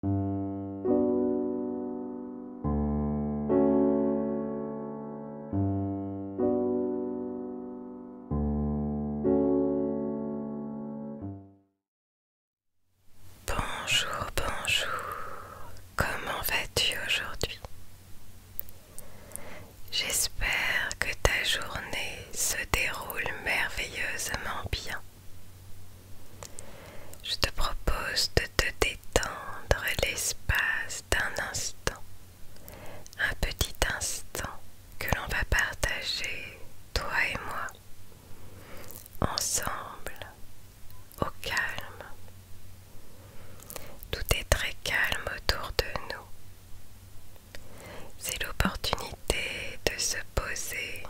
Bonjour, bonjour, comment vas-tu aujourd'hui J'espère que ta journée se déroule merveilleusement bien. Je te propose de te détendre l'espace d'un instant, un petit instant que l'on va partager, toi et moi, ensemble, au calme. Tout est très calme autour de nous. C'est l'opportunité de se poser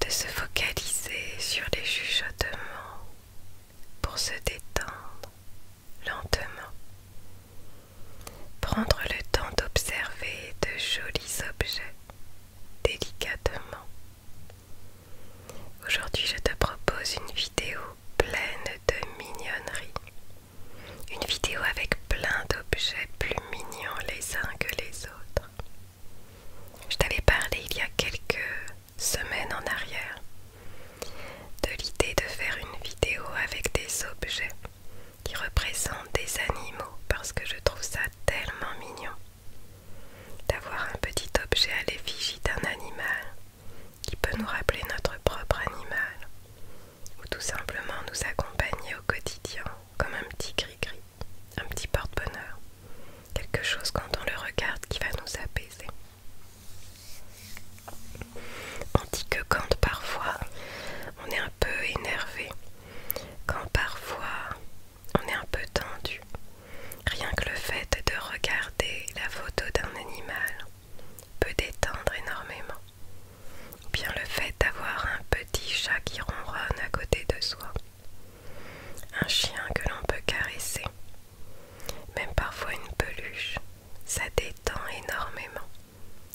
de se focaliser sur les chuchotements pour se détendre lentement. Prendre le temps d'observer de jolis objets délicatement. Aujourd'hui, je te propose une vidéo pleine de mignonneries. Une vidéo avec plein d'objets plus mignons les uns que les autres. Je t'avais parlé il y a quelques semaines en arrière de l'idée de faire une vidéo avec des objets qui représentent des animaux parce que je trouve ça tellement mignon d'avoir un petit objet à l'effigie d'un animal qui peut nous rappeler notre propre animal ou tout simplement nous accompagner au quotidien comme un petit gris-gris un petit porte-bonheur, quelque chose quand on le regarde qui va nous apaiser. On dit que quand parfois on est un peu énervé, quand parfois on est un peu tendu, rien que le fait de regarder la photo d'un animal peut détendre énormément. Ou bien le fait d'avoir un petit chat qui ronronne à côté de soi un chien que l'on peut caresser, même parfois une peluche, ça détend énormément.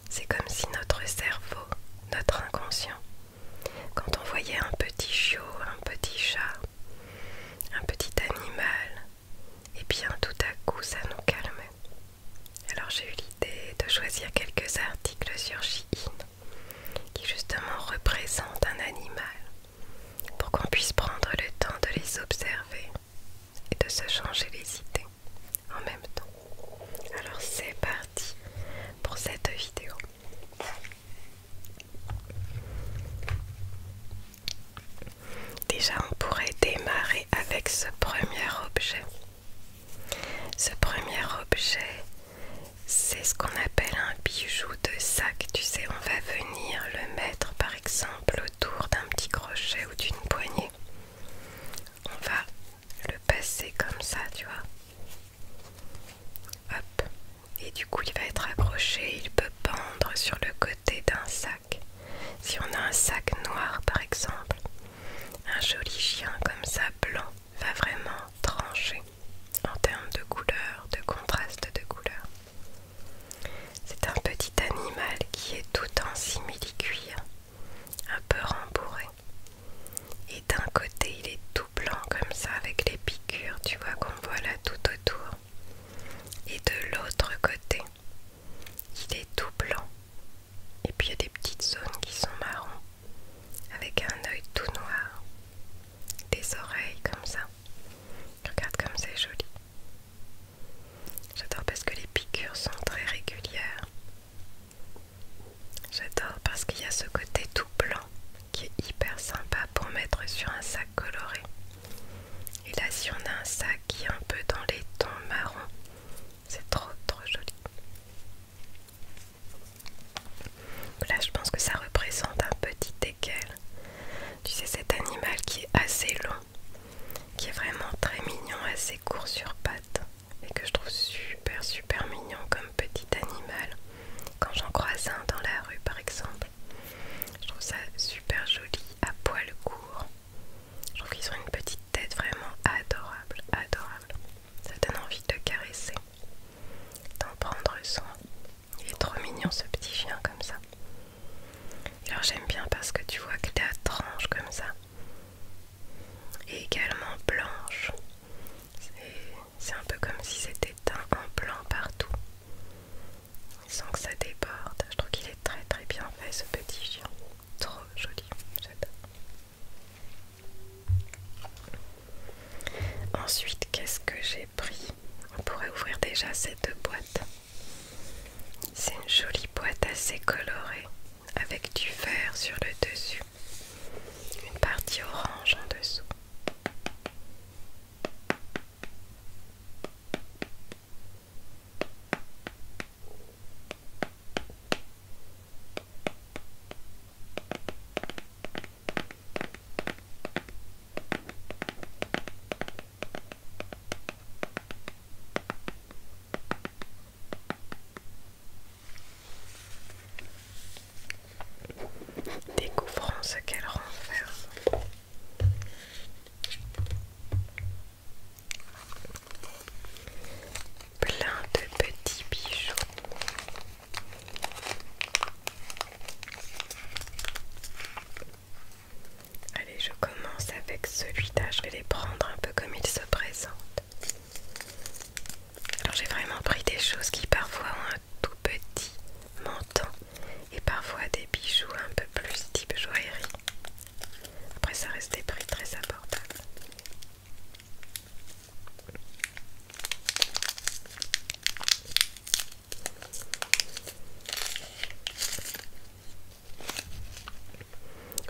C'est comme si notre cerveau, notre inconscient, quand on voyait un petit chiot, un petit chat, un petit animal, et eh bien tout à coup ça nous calmait. Alors j'ai eu l'idée de choisir quelques articles sur Chi qui justement représente un animal, pour qu'on puisse prendre le temps de les observer et de se changer les idées en même temps. Alors c'est parti pour cette vidéo. Déjà, on pourrait démarrer avec ce premier objet. Ce premier objet c'est ce qu'on appelle un bijou de sac. Tu sais, on va venir le mettre par exemple autour d'un petit crochet ou d'une poignée. On va le passer comme ça, tu vois. Hop. Et du coup, il va être accroché. Il peut pendre sur le côté d'un sac. Si on a un sac noir par exemple, un joli chien comme ça blanc, va vraiment trancher en termes de couleur, de contraste de couleur. C'est un petit animal qui est tout en simili-cuir, un peu rembourré. Et d'un côté, il est tout blanc comme ça avec les piqûres, tu vois qu'on voit là tout autour. Et de l'autre côté, il est tout blanc. Et puis il y a des petites zones qui sont marron avec un œil tout noir, des oreilles comme ça. Regarde comme c'est joli. J'adore parce que les piqûres sont très régulières. J'adore parce qu'il y a ce côté tout blanc qui est hyper sympa pour mettre sur un sac coloré. Et là, si on a un sac qui est un peu dans les tons marron, c'est trop trop joli. Là, je pense que ça représente un petit équel. Tu sais, cet animal qui est assez long, qui est vraiment très mignon, assez court sur pattes, et que je trouve super, super mignon comme petit animal. Quand j'en croise un dans la rue, par exemple, je trouve ça super joli, à poil court. Je trouve qu'ils ont une petite tête vraiment adorable, adorable ça donne envie de caresser, d'en prendre soin. Il est trop mignon ce petit chien comme ça. alors j'aime bien parce que tu vois que qu'il à tranche comme ça. Et également blanche. C'est un peu comme si c'était teint en blanc partout. Sans que ça déborde. Je trouve qu'il est très très bien fait ce petit chien. Trop joli. J'adore. Ensuite, qu'est-ce que j'ai pris On pourrait ouvrir déjà cette boîte. C'est une jolie boîte assez colorée avec du vert sur le dessus, une partie orange en dessous. Découvrons ce qu'elle renferme. Plein de petits bijoux Allez, je commence avec celui-là. Je vais les prendre un peu comme il se présente Alors j'ai vraiment pris des choses qui parfois ont un tout petit menton et parfois des bijoux un peu plus type joaillerie. Après ça reste des prix très abordables.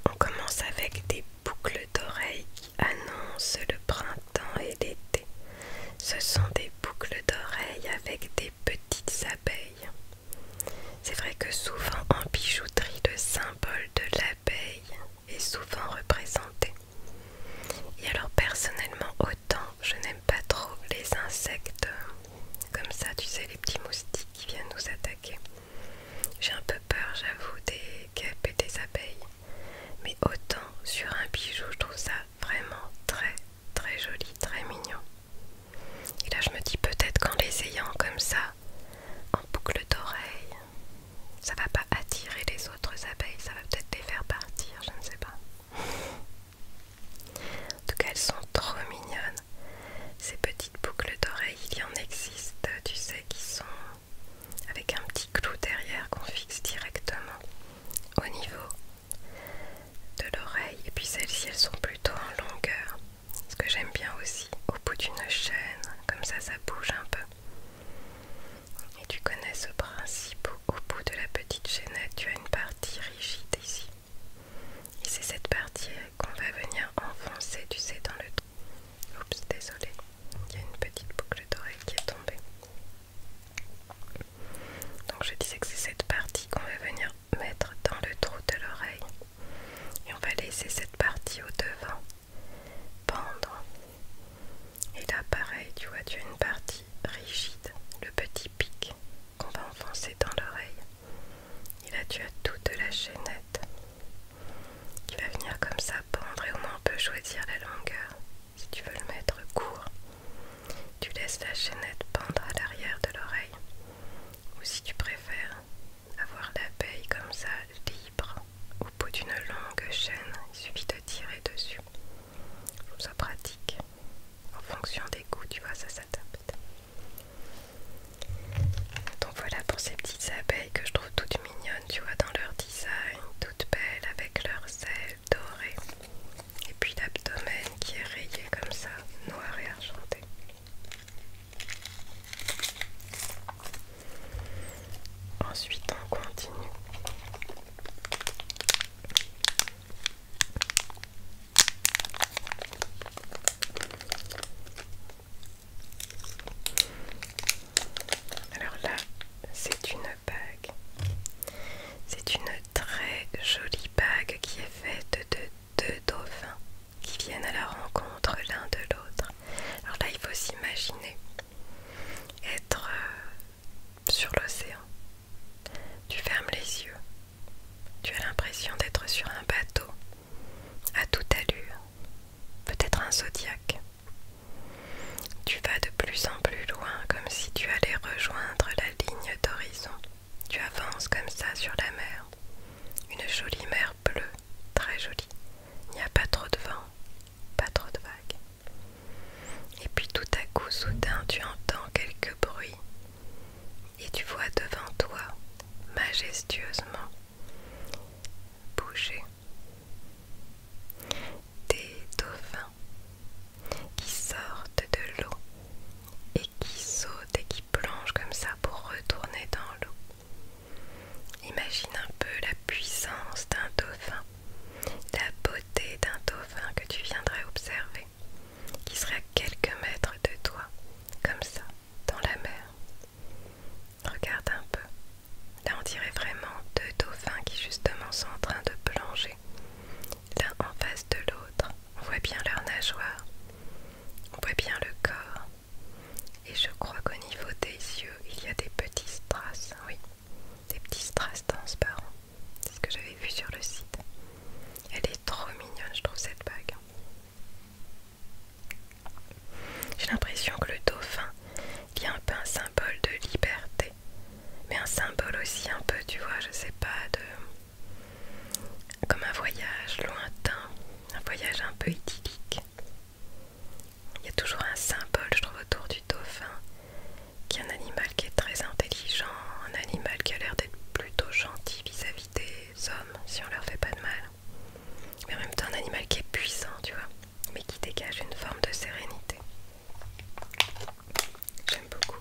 On commence avec des boucles d'oreilles qui annoncent le printemps et l'été. Ce sont des boucles d'oreilles avec des petites abeilles. C'est vrai que souvent en bijouterie, le symbole de l'abeille est souvent représenté. Et alors personnellement autant je n'aime pas trop les insectes comme ça, tu sais, les petits moustiques qui viennent nous attaquer. J'ai un peu peur, j'avoue, des guêpes et des abeilles. Mais autant sur un bijou, je trouve ça vraiment très très joli, très mignon. Et là je me dis peut-être qu'en les ayant comme ça, en boucle d'oreille, ça va pas attirer les autres abeilles, ça va peut-être les faire partir, je ne sais pas. En tout cas, elles sont trop mignonnes. Ces petites boucles d'oreilles, il y en existe, tu sais, qui sont avec un petit clou derrière qu'on fixe directement au niveau de l'oreille. Et puis celles-ci, elles sont plutôt en longueur. Ce que j'aime bien aussi, au bout d'une chaîne, comme ça, ça bouge un peu. Et tu connais ce principe au bout de la petite chaînette, tu as une partie rigide ici. Et c'est cette partie qu'on va venir enfoncer, tu sais, dans le... trou Oups, désolé, il y a une petite boucle d'oreille qui est tombée. Donc je disais que c'est cette partie qu'on va venir mettre dans le trou de l'oreille. Et on va laisser cette partie au devant pendre. Et là, pareil, tu vois, tu as une partie rigide, le petit pic qu'on va enfoncer dans l'oreille. Et là, tu as toute la chaînette qui va venir comme ça pendre et au moins on peut choisir la longueur. Si tu veux le mettre court, tu laisses la chaînette pendre à l'arrière de l'oreille. Ou si tu préfères avoir l'abeille comme ça au bout d'une longue chaîne, il suffit de tirer dessus. Je trouve ça pratique. En fonction des goûts, tu vois, ça s'adapte. Donc voilà pour ces petites abeilles que je trouve toutes mignonnes, tu vois, dans leur design, toutes belles avec leurs ailes dorées. Et puis l'abdomen qui est rayé comme ça, noir et argenté. Ensuite, on continue. Alors là, c'est une bague. C'est une très jolie bague qui est faite de deux dauphins qui viennent à la rencontre l'un de l'autre. Alors là, il faut s'imaginer être euh, sur l'océan. Tu fermes les yeux. Tu as l'impression d'être sur un bateau, à toute allure, peut-être un zodiaque. Tu vas de plus en plus loin, comme si tu allais rejoindre la ligne d'horizon. Tu avances comme ça sur la mer, une jolie mer bleue, très jolie, il n'y a pas trop de vent, pas trop de vagues. Et puis tout à coup, soudain, tu entends quelques bruits et tu vois devant toi, majestueusement, bouger des dauphins qui sortent de l'eau et qui sautent et qui plongent comme ça pour retourner dans l'eau. Imagine un peu la puissance d'un dauphin, la beauté d'un dauphin que tu viendrais observer, qui serait à quelques mètres de toi, comme ça, dans la mer. Regarde un peu. Là, on dirait vraiment deux dauphins qui justement sont en train de plonger, l'un en face de l'autre. On voit bien leur nageoire, on voit bien le corps. Et je crois qu'au niveau des yeux, il y a des petits strass, oui, des petits strass transparents. C'est ce que j'avais vu sur le site. Elle est trop mignonne, je trouve cette bague. J'ai l'impression que le dauphin a un peu un symbole de liberté, mais un symbole aussi un peu, tu vois, je sais pas, de comme un voyage lointain, un voyage un peu idyllique. Il y a toujours un symbole, je trouve, autour du dauphin, qui est un animal qui est très intelligent, un animal qui a l'air d'être plutôt gentil vis-à-vis des hommes, si on leur fait pas de mal. Mais en même temps, un animal qui est puissant, tu vois, mais qui dégage une forme de sérénité. J'aime beaucoup.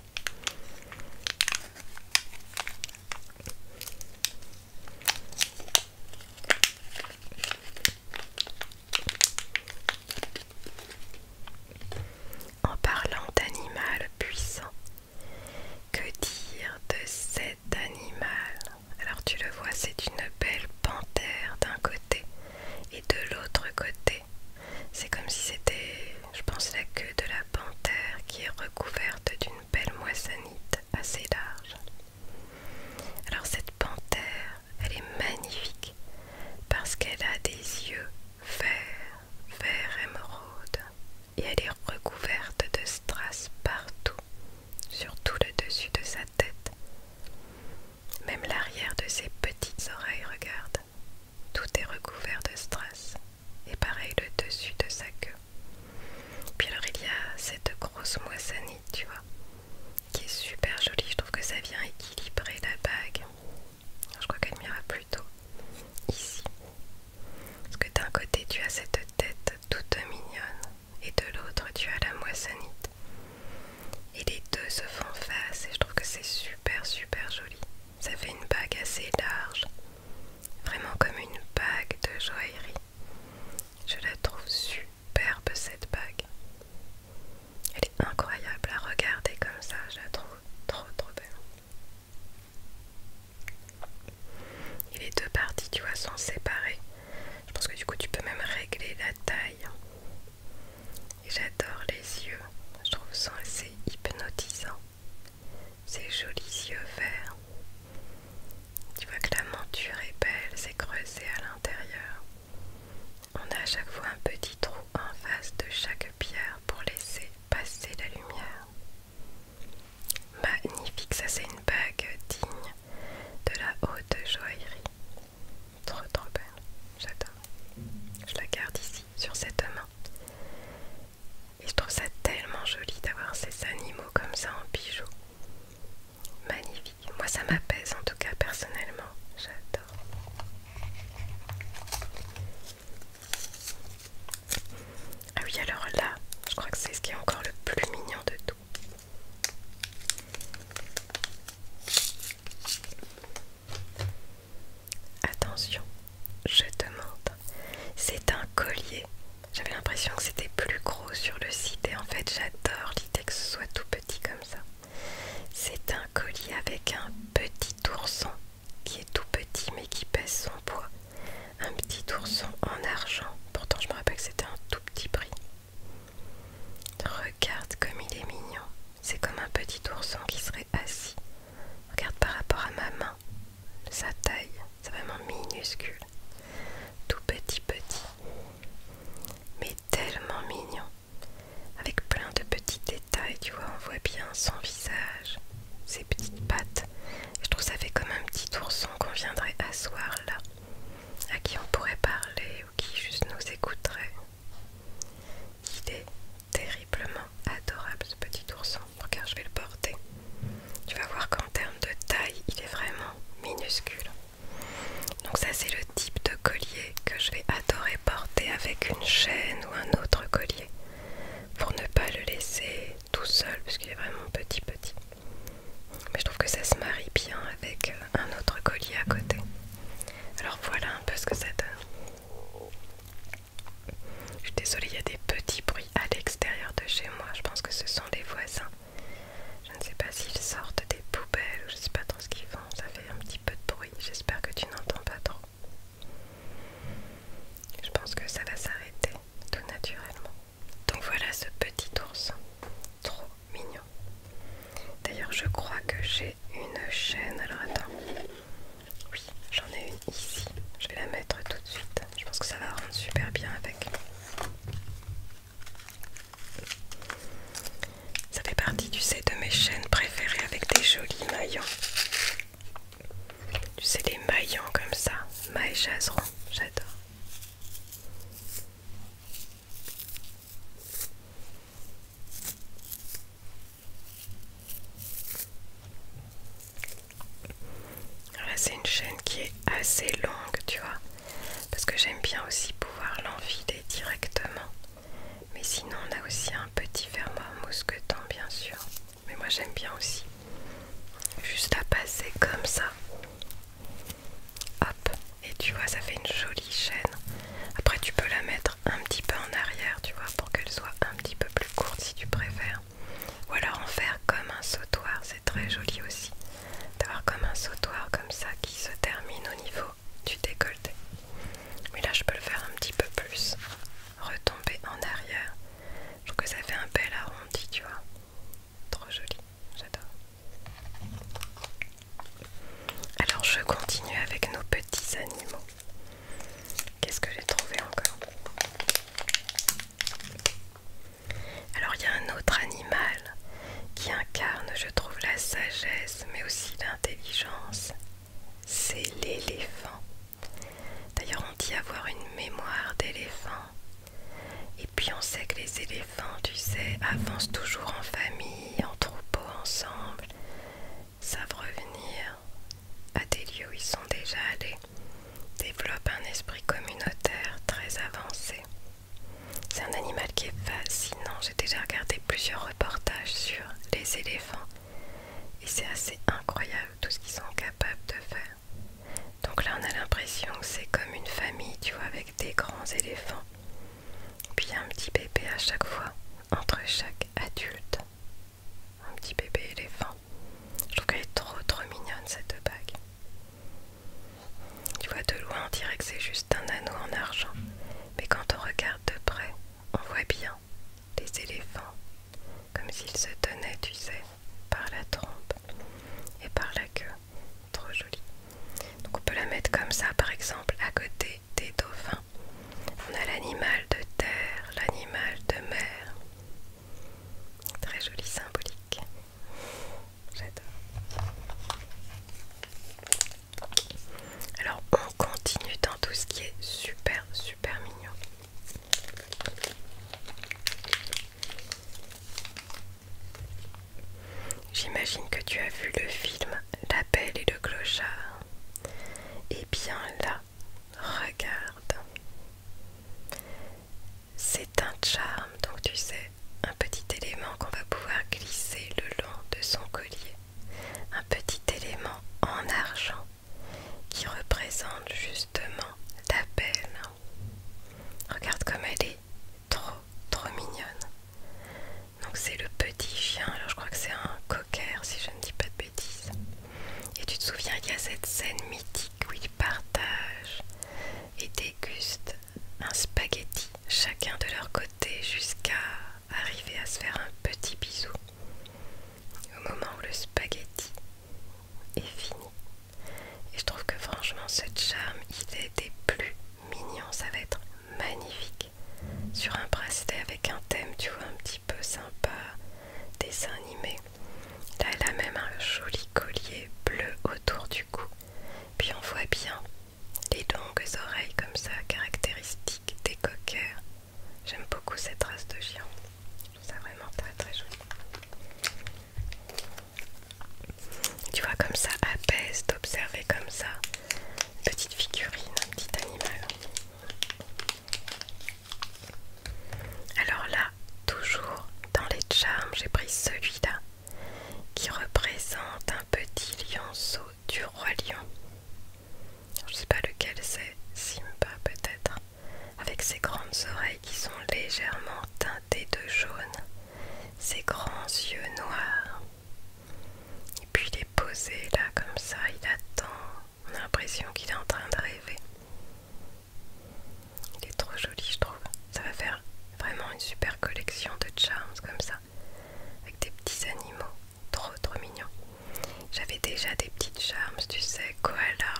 En parlant d'animal puissant, que dire de cet animal Alors tu le vois, c'est une belle panthère d'un côté et de l'autre côté. C'est comme si c'était, je pense, la queue de la panthère qui est recouverte d'une belle moissanite assez large. Alors cette panthère elle est magnifique parce qu'elle a des yeux verts, verts émeraudes et elle est recouverte de strass partout, surtout le dessus de sa tête. Même l'arrière de ses petites oreilles, regarde, tout est recouvert de strass et pareil le dessus de sa queue. Puis alors il y a cette grosse moissanite, tu vois qui est super jolie. Je trouve que ça vient équilibrer la bague. je crois qu'elle m'ira plutôt ici. Parce que d'un côté, tu as cette tête toute mignonne et de l'autre, tu as la moissanite. Et les deux se font face et je trouve que c'est super super joli. Ça fait une bague assez large, vraiment comme une bague de joaillerie. Je la trouve super superbe cette bague. Elle est incroyable à regarder comme ça, je la trouve trop trop belle. Et les deux parties, tu vois, sont séparées. Je pense que du coup, tu peux même régler la taille. Et j'adore les yeux. Je trouve ça assez hypnotisant. Ces jolis yeux verts. Tu vois que la monture est belle, c'est creusé à l'intérieur. On a à chaque fois un petit trou en face de chaque pierre pour laisser passer la lumière. Magnifique, ça c'est une bague digne de la haute joaillerie. Trop trop belle, j'adore. Je la garde ici, sur cette main. Et je trouve ça tellement joli d'avoir ces animaux comme ça en bijoux. Magnifique. Moi, ça m'apaise en tout cas, personnellement. J'adore. Ah oui, alors là, je crois que c'est ce qui est encore le plus mignon de tout. Attention, je demande. C'est un collier. J'avais l'impression que c'était plus gros sur le site et en fait j'adore l'idée que ce soit tout comme ça. C'est un collier avec un petit ourson qui est tout petit mais qui pèse son poids. Un petit ourson en argent. Pourtant je me rappelle que c'était un tout petit prix. Regarde comme il est mignon. C'est comme un petit ourson qui serait assis. Regarde par rapport à ma main. Sa taille, c'est vraiment minuscule. Tout petit petit. Mais tellement mignon, avec plein de petits détails, tu vois, on voit bien son visage, ses petites pattes. Je trouve ça fait comme un petit ourson qu'on viendrait asseoir là, à qui on pourrait parler ou qui juste nous écouterait. Il est terriblement adorable ce petit ourson. Regarde, je vais le porter. Tu vas voir qu'en termes de taille, il est vraiment minuscule. Donc ça c'est le type de collier que je vais adorer porter avec une chaîne ou un autre collier pour ne pas le laisser tout seul puisqu'il est vraiment petit petit. Mais je trouve que ça se marie bien avec euh, un autre collier à côté. Alors voilà un peu ce que ça donne. Je suis désolée, il y a des petits bruits à l'extérieur de chez moi. Je pense que ce sont les voisins je ne sais pas s'ils sortent des poubelles ou je sais pas trop ce qu'ils font. Ça fait un petit peu de bruit. J'espère que tu n'entends pas trop. Je pense que ça va s'arrêter tout naturellement. Donc voilà ce petit ours Trop mignon. D'ailleurs, je crois que j'ai une chaîne. Alors attends. Oui, j'en ai une ici. Je vais la mettre tout de suite. Je pense que ça va rendre super bien avec. Ça fait partie, tu sais, de mes chaînes préférées avec des jolis maillons. Tu sais, les maillons comme ça, mailles chaseron, j'adore. là, c'est une chaîne qui est assez longue, tu vois parce que j'aime bien aussi pouvoir l'enfiler directement. Mais sinon, on a aussi un petit fermoir mousqueton, bien sûr. Mais moi, j'aime bien aussi. Juste à passer comme ça. Hop, et tu vois, ça fait une jolie chaîne. Après, tu peux la mettre un petit peu en arrière, tu vois, pour qu'elle soit un petit peu plus courte si tu préfères. Ou alors en faire comme un sautoir, très joli aussi d'avoir comme un sautoir comme ça qui se termine au niveau du décolleté. Mais là je peux le faire un petit peu plus, retomber en arrière. Je trouve que ça fait un bel arrondi, tu vois. Trop joli, j'adore. Alors je continue avec nos petits animaux. Qu'est-ce que j'ai trouvé encore alors il y a un autre animal qui incarne, je trouve, la sagesse, mais aussi l'intelligence, c'est l'éléphant. D'ailleurs on dit avoir une mémoire d'éléphant. Et puis on sait que les éléphants, tu sais, avancent toujours en famille, en troupeau, ensemble, savent revenir à des lieux où ils sont déjà allés, développent un esprit communautaire très avancé. C'est un animal qui est fascinant. J'ai déjà regardé plusieurs reportages sur les éléphants et c'est assez incroyable tout ce qu'ils sont capables de faire. Donc là, on a l'impression que c'est comme une famille, tu vois, avec des grands éléphants. Puis un petit bébé à chaque fois, entre chaque adulte. Un petit bébé éléphant. Je trouve qu'elle est trop trop mignonne cette bague. Tu vois de loin, on dirait que c'est juste un anneau en argent, mais quand on regarde de près, on voit bien des éléphants, comme s'ils se tenaient, tu sais, par la trompe et par la queue. Trop joli. Donc on peut la mettre comme ça, par exemple, à côté des dauphins. On a l'animal de terre, l'animal de mer. Très joli symbolique. Alors on continue dans tout ce qui est super super mignon. J'imagine que tu as vu le film La Belle et le Clochard. Et eh bien là, regarde. C'est charme, donc tu sais, un petit élément qu'on va pouvoir glisser le long de son collier. Un petit élément en argent qui représente justement la peine Regarde comme elle est trop, trop mignonne. Donc c'est le petit chien, alors je crois que c'est un cocker si je ne dis pas de bêtises. Et tu te souviens, il y a cette scène mythique où il partage et déguste un spaghetti chacun de leur côté jusqu'à arriver à se faire un petit bisou. Au moment où le spaghetti est fini. Et je trouve que franchement ce charme, il est des plus mignons, ça va être magnifique. Sur un bracelet avec un thème, tu vois, un petit peu sympa, dessin animé. Là, elle a même un joli collier bleu autour du cou. Puis on voit bien les longues oreilles comme ça, caractéristiques des coqueurs. J'aime beaucoup cette race de chien. Je ça vraiment très très joli. Tu vois comme ça apaise d'observer comme ça petite figurine, un petit animal. Alors là, toujours dans les charmes, j'ai pris celui-là qui représente un petit lionceau du roi lion. Je sais pas lequel c'est, Simba peut-être, hein, avec ses grandes oreilles qui sont légèrement teintées de jaune, ses grands yeux noirs. Et puis il est posé là comme ça, il attend, on a l'impression qu'il est en train de rêver. Il est trop joli je trouve. Ça va faire vraiment une super collection de charms comme ça, avec des petits animaux, trop trop mignons. J'avais déjà des petites charms, tu sais, koala,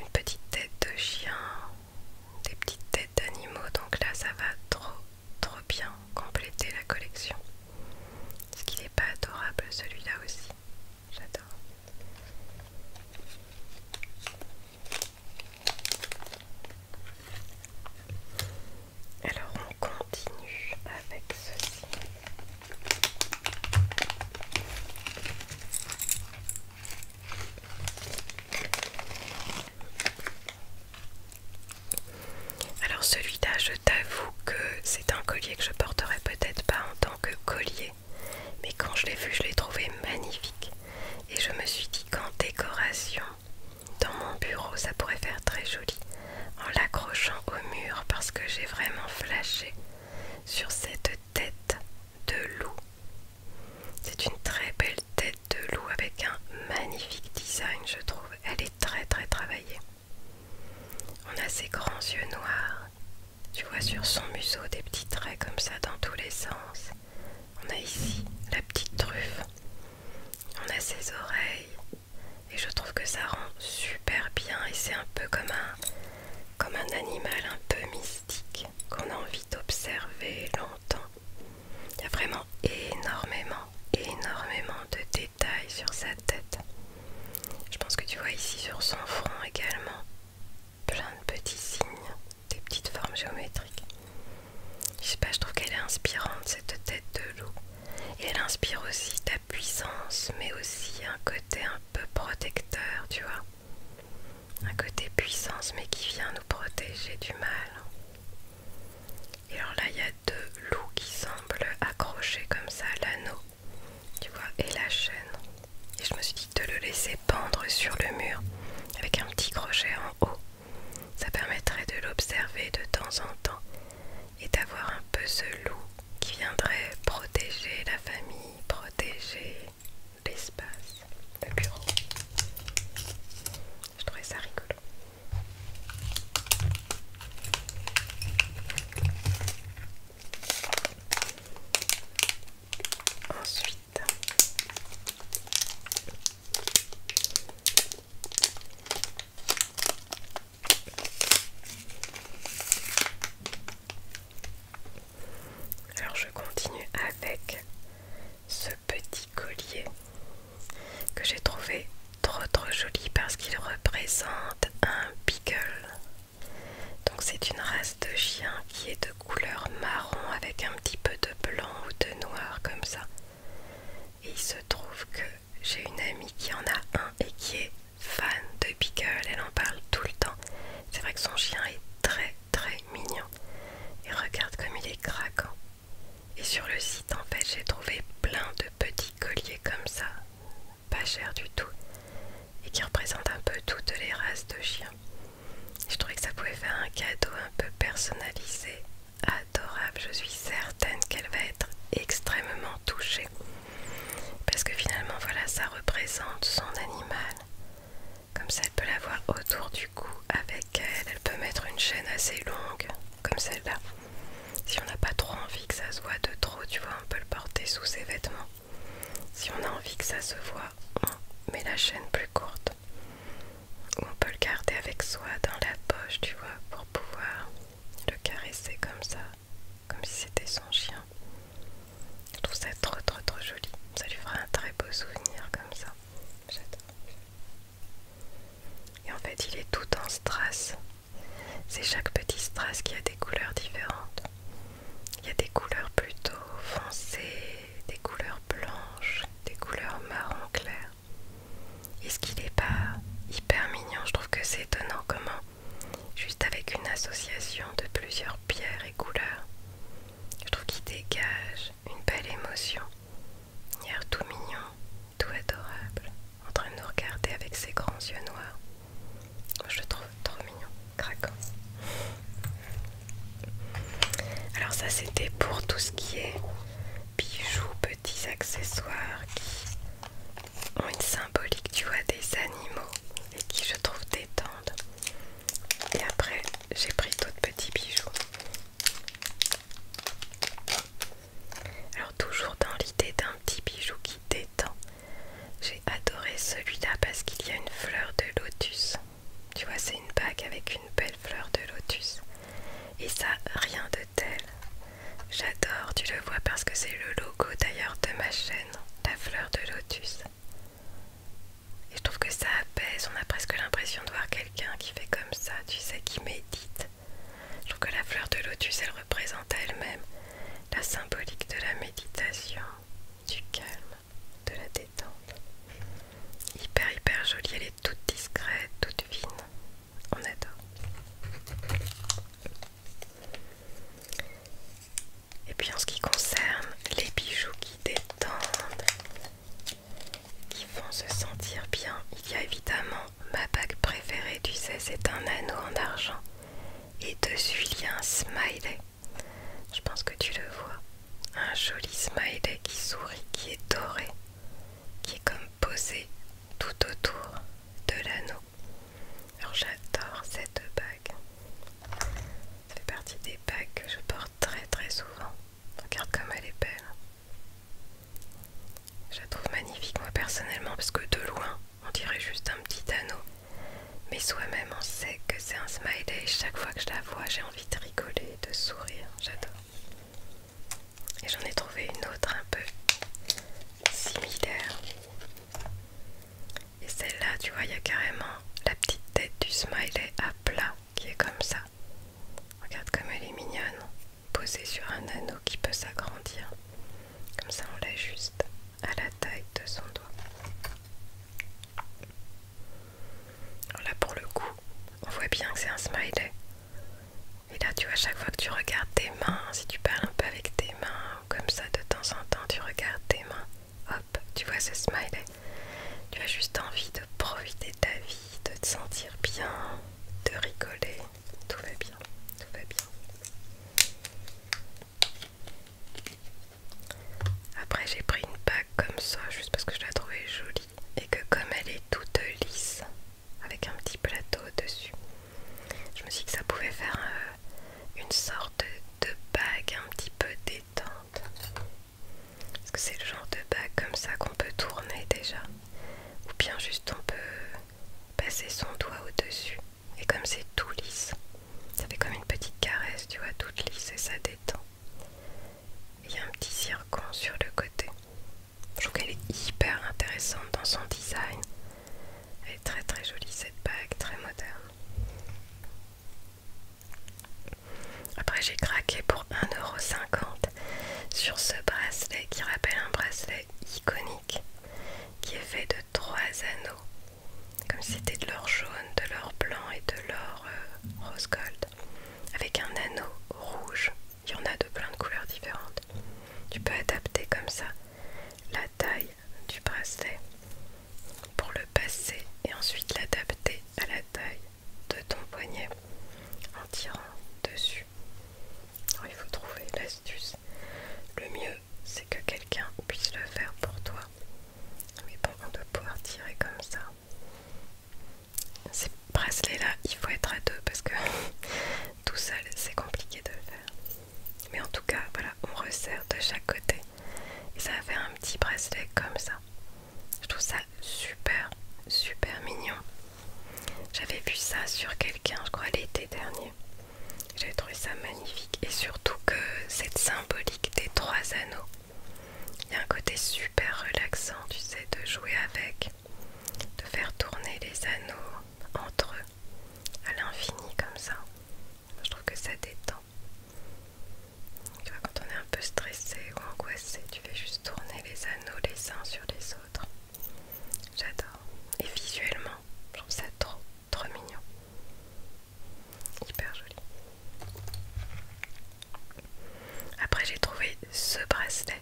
une petite tête de chien, des petites têtes d'animaux, donc là ça va trop trop bien compléter la collection. ce qu'il n'est pas adorable celui-là aussi J'adore. Alors on continue avec ceci. Alors celui-là, je t'avoue que c'est un collier que je porterai peut-être pas en tant que collier, mais quand je l'ai vu, je l'ai trouvé magnifique. Et je me suis dit qu'en décoration, dans mon bureau, ça pourrait faire très joli en l'accrochant au mur parce que j'ai vraiment flashé sur cette tête de loup. C'est une très belle tête de loup avec un magnifique design, je trouve. Elle est très très travaillée. On a ses grands yeux noirs. Tu vois sur son museau des petits traits comme ça dans tous les sens. On a ici la petite truffe. On a ses oreilles. Et je trouve que ça rend super bien. Et c'est un peu comme un, comme un animal un peu mystique qu'on a envie d'observer longtemps. Il y a vraiment énormément, énormément de détails sur sa tête. Je pense que tu vois ici sur son front également plein de petits signes des petites formes géométriques. Je sais pas, je trouve qu'elle est inspirante cette tête de loup. Et elle inspire aussi ta puissance, mais aussi un côté un peu protecteur, tu vois. Un côté puissance, mais qui vient nous protéger du mal. Et alors là, il y a deux loups qui semblent accrochés comme ça, l'anneau, tu vois, et la chaîne. Et je me suis dit de le laisser pendre sur le mur avec un petit crochet en haut. Ça permettrait de l'observer de temps en temps et d'avoir un peu ce loup qui viendrait protéger la famille, protéger l'espace, le bureau. Je trouvais ça rigolo. Ensuite, alors je continue avec ce petit collier que j'ai trouvé trop trop joli parce qu'il représente un beagle. Donc c'est une race de chien qui est de couleur marron avec un petit peu de blanc ou de noir comme ça. Et il se trouve que j'ai une amie qui en a un et qui est fan de Beagle, elle en parle tout le temps. C'est vrai que son chien est très très mignon. Et regarde comme il est craquant. Et sur le site en fait j'ai trouvé plein de petits colliers comme ça, pas cher du tout, et qui représentent un peu toutes les races de chiens. Je trouvais que ça pouvait faire un cadeau un peu personnalisé, adorable. Je suis certaine qu'elle va être extrêmement touchée. Parce que finalement, voilà, ça représente son animal. Comme ça, elle peut l'avoir autour du cou avec elle. Elle peut mettre une chaîne assez longue, comme celle-là. Si on n'a pas trop envie que ça se voit de trop, tu vois, on peut le porter sous ses vêtements. Si on a envie que ça se voit, on met la chaîne plus courte on peut le garder avec soi dans la poche, tu vois, pour pouvoir le caresser comme ça, comme si c'était son chien. Je trouve ça trop trop trop joli. Ça lui fera un très beau souvenir comme ça. J'adore. Et en fait, il est tout en strass. C'est chaque petit strass qui a des couleurs différentes. Il y a des couleurs plutôt foncées, des couleurs blanches, des couleurs marron clair. Est-ce qu'il n'est pas hyper mignon Je trouve que c'est étonnant comment, juste avec une association de plusieurs pierres et couleurs, je trouve qu'il dégage une belle émotion. Il tout mignon, tout adorable, en train de nous regarder avec ses grands yeux noirs. Je le trouve trop mignon, craquant. Alors ça c'était pour tout ce qui est bijoux, petits accessoires qui ont une symbolique tu vois des animaux et qui je trouve détendent. Et après j'ai pris d'autres petits bijoux. Alors toujours dans l'idée d'un petit bijou qui détend. J'ai adoré celui-là parce qu'il y a une fleur de lotus tu vois, c'est une bague avec une belle fleur de lotus. Et ça, rien de tel. J'adore, tu le vois parce que c'est le logo d'ailleurs de ma chaîne, la fleur de lotus. Et je trouve que ça apaise, on a presque l'impression de voir quelqu'un qui fait comme ça, tu sais, qui médite. Je trouve que la fleur de lotus, elle représente à elle-même la symbolique de la méditation, du calme, de la détente. Hyper hyper jolie, elle est toute discrète, toute fine. On adore. Et puis en ce qui concerne les bijoux qui détendent, qui font se sentir bien, il y a évidemment ma bague préférée, tu sais, c'est un anneau en argent. Et dessus, il y a un smiley. Je pense que tu le vois un joli smiley qui sourit, qui est doré, qui est comme posé tout autour de l'anneau. Alors j'adore cette bague. Ça fait partie des bagues que je porte très très souvent. Regarde comme elle est belle. Je la trouve magnifique moi personnellement parce que de loin on dirait juste un petit anneau. Mais soi-même on sait que c'est un smiley. Chaque fois que je la vois j'ai envie de rigoler de sourire, j'adore. Et j'en ai trouvé une autre un peu similaire. Et celle-là, tu vois, il y a carrément la petite tête du smiley à plat qui est comme ça. Regarde comme elle est mignonne, posée sur un anneau qui peut s'agrandir. Comme ça, on l'ajuste à la taille de son doigt. Alors là pour le coup, on voit bien que c'est un smiley. Et là tu vois, chaque fois que tu regardes tes mains, si tu parles un peu avec tes mains, ou comme ça de temps en temps, tu regardes tes mains, hop, tu vois ce smiley. Tu as juste envie de profiter de ta vie, de te sentir bien, de rigoler. Tout va bien, tout va bien. Après j'ai pris une bague comme ça juste parce que je la trouvais jolie et que comme elle est toute lisse avec un petit plateau au dessus, je me suis dit que ça pouvait faire euh, une sorte de bague un petit peu détente. Parce que c'est le genre de bague comme ça qu'on peut tourner déjà. Ou bien juste on peut passer son doigt au-dessus. Et comme c'est tout lisse, ça fait comme une petite caresse, tu vois, toute lisse et ça détend. Il y a un petit circon sur le côté. Je trouve qu'elle est hyper intéressante dans son design. Elle est très très jolie cette bague, très moderne. Après j'ai craqué pour 1,50€ sur ce bracelet qui rappelle un bracelet iconique qui est fait de trois anneaux. Comme si c'était de l'or jaune, de l'or blanc et de l'or euh, rose gold avec un anneau rouge. Il y en a de plein de couleurs différentes. Tu peux adapter comme ça la taille du bracelet pour le passer et ensuite l'adapter à la taille de ton poignet en tirant dessus. il faut trouver l'astuce. Le mieux, c'est que quelqu'un puisse le faire pour toi. Mais pour on puisse pouvoir tirer comme ça. Ces bracelets là, il faut être à deux parce que tout seul c'est compliqué de le faire. Mais en tout cas, voilà, on resserre de chaque côté et ça va faire un petit bracelet comme ça. Je trouve ça super, super mignon. J'avais vu ça sur quelqu'un, je crois, l'été dernier. J'avais trouvé ça magnifique et surtout que cette symbolique des trois anneaux il y a un côté super relaxant, tu sais, de jouer avec, de faire tourner les anneaux entre eux à l'infini comme ça. Je trouve que ça détend. quand on est un peu stressé ou angoissé, tu fais juste tourner les anneaux les uns sur les autres. J'adore. Et visuellement, je trouve ça trop, trop mignon. Hyper joli. Après j'ai trouvé ce bracelet.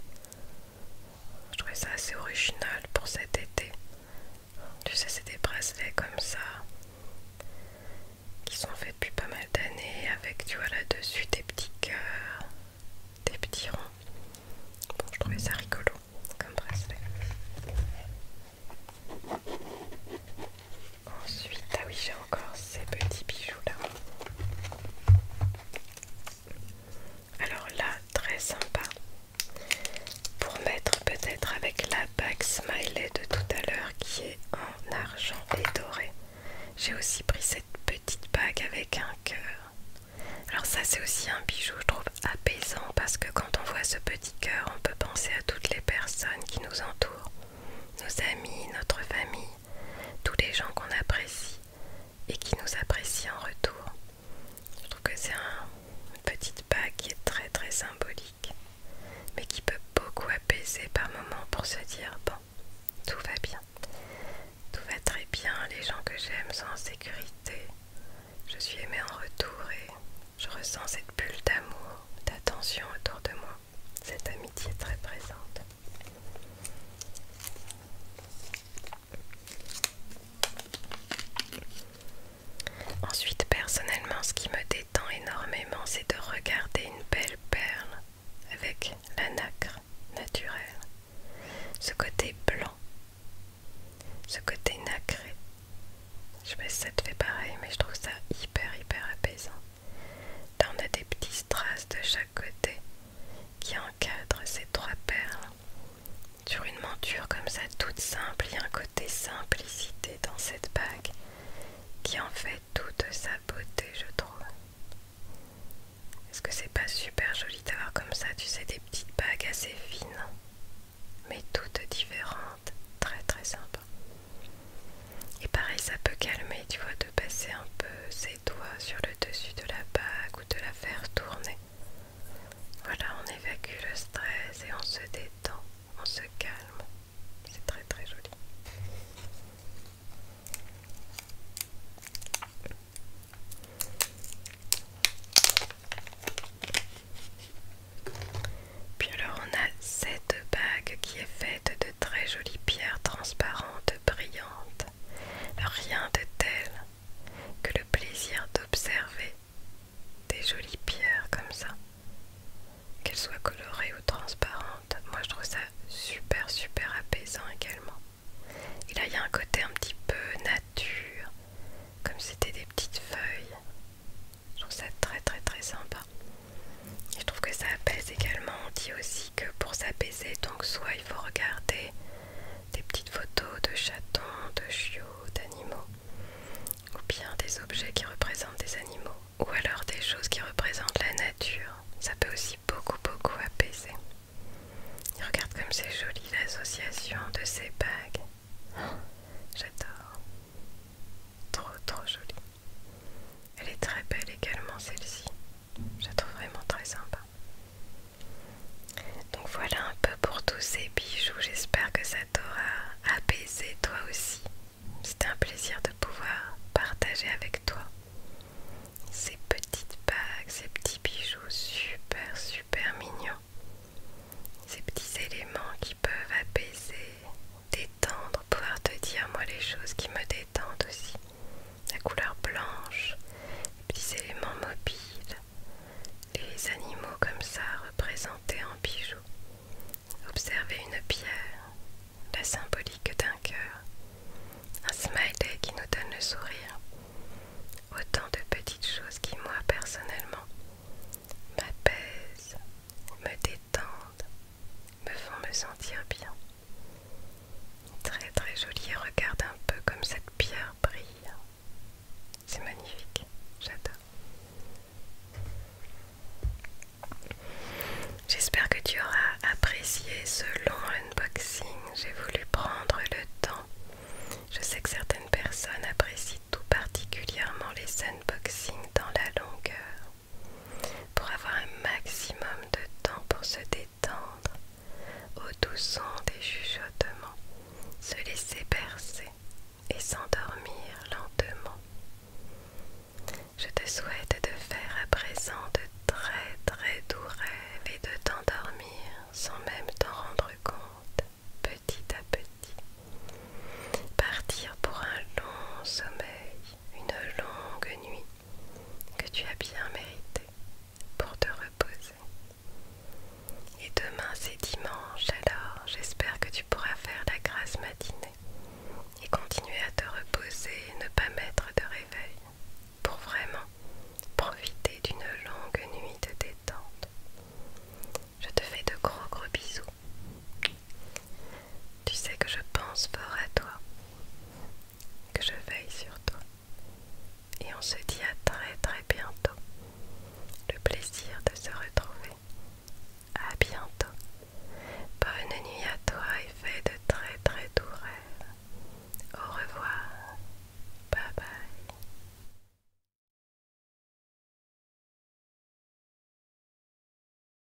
Je trouvais ça assez original pour cet été. Tu sais c'est des bracelets comme ça qui sont faits depuis pas mal d'années avec tu vois là dessus des petits cœurs, des petits ronds. Bon je trouvais ça rigolo comme bracelet. Ensuite, ah oui, j'ai encore ces petits bijoux là. Alors là, très sympa pour mettre peut-être avec la bague smiley de tout à l'heure qui est en argent et doré. J'ai aussi pris cette petite bague avec un cœur. Alors ça c'est aussi un bijou je trouve apaisant parce que quand on voit ce petit cœur on peut penser à toutes les personnes qui nous entourent, nos amis, notre famille tous les gens qu'on apprécie et qui nous apprécient en retour. Je trouve que c'est un, une petite bague qui est très très symbolique, mais qui peut beaucoup apaiser par moments pour se dire bon, tout va bien, tout va très bien, les gens que j'aime sont en sécurité, je suis aimée en retour et je ressens cette bulle d'amour, d'attention autour de moi cette amitié est très présente. Ensuite, personnellement, ce qui me détend énormément, c'est de regarder une belle perle avec la nacre naturelle. Ce côté blanc, ce côté nacré. Je sais pas si ça te fait pareil, mais je trouve ça hyper, hyper apaisant. T'en as des petites traces de chaque côté qui encadrent ces trois perles. Sur une monture comme ça, toute simple, il y a un côté simplicité dans cette bague qui en fait toute sa beauté, je trouve. Est-ce que c'est pas super joli d'avoir comme ça, tu sais, des petites bagues assez fines, mais toutes différentes, très très simples. Et pareil, ça peut calmer, tu vois, de passer un peu ses doigts sur le dessus de la bague ou de la faire tourner. Voilà, on évacue le stress et on se détend, on se calme. C'est très très joli. Puis alors on a cette bague qui est faite de très jolies pierres transparentes, brillantes, rien de tel que le plaisir d'observer des jolies pierres comme ça. Qu'elles soient colorées ou transparentes, moi je trouve ça super super apaisant également. Et là il y a un côté un petit peu nature, comme c'était des petites feuilles. Je trouve ça très très très sympa. Je trouve que ça apaise également. On dit aussi que pour s'apaiser, donc soit il faut regarder des petites photos de chatons, de chiots, d'animaux, ou bien des objets qui représentent des animaux, ou alors des choses qui représentent la nature. Ça peut aussi beaucoup beaucoup apaiser. Et regarde comme c'est joli l'association de ces bagues. J'adore. Trop trop joli. Elle est très belle également celle-ci. Je la trouve vraiment très sympa. Donc voilà un peu pour tous ces bijoux. J'espère que ça t'aura apaisé toi aussi. C'était un plaisir de pouvoir partager avec toi ces petites bagues, ces petits bijoux super super mignons. Ces petits éléments qui peuvent apaiser, détendre, pouvoir te dire moi les choses qui me détendent aussi. La couleur blanche, les petits éléments mobiles, les animaux comme ça représentés en bijoux. Observer une pierre, la symbolique d'un cœur, un smiley qui nous donne le sourire. Autant de petites choses qui moi personnellement m'apaisent, me détendent, me font me sentir bien. Très très joli, regarde un peu comme cette pierre brille. C'est magnifique, j'adore. J'espère que tu auras apprécié ce long unboxing. J'ai voulu prendre le temps. Je sais que certaines personnes apprécient tout particulièrement les unboxings dans la longueur pour avoir un maximum de temps pour se détendre au doux son des chuchotements, se laisser bercer et s'endormir lentement. Je te souhaite de faire à présent de très très doux rêves et de t'endormir sans même t'en rendre compte, petit à petit. Partir pour un long sommeil une longue nuit que tu as bien méritée pour te reposer. Et demain c'est dimanche, alors j'espère que tu pourras faire la grâce matinée et continuer à te reposer et ne pas mettre de réveil pour vraiment profiter d'une longue nuit de détente. Je te fais de gros gros bisous tu sais que je pense fort à toi, que je veille sur toi. Et on se dit à très très bientôt. Le plaisir de se retrouver. À bientôt. Bonne nuit à toi et fais de très très doux rêves. Au revoir. Bye bye.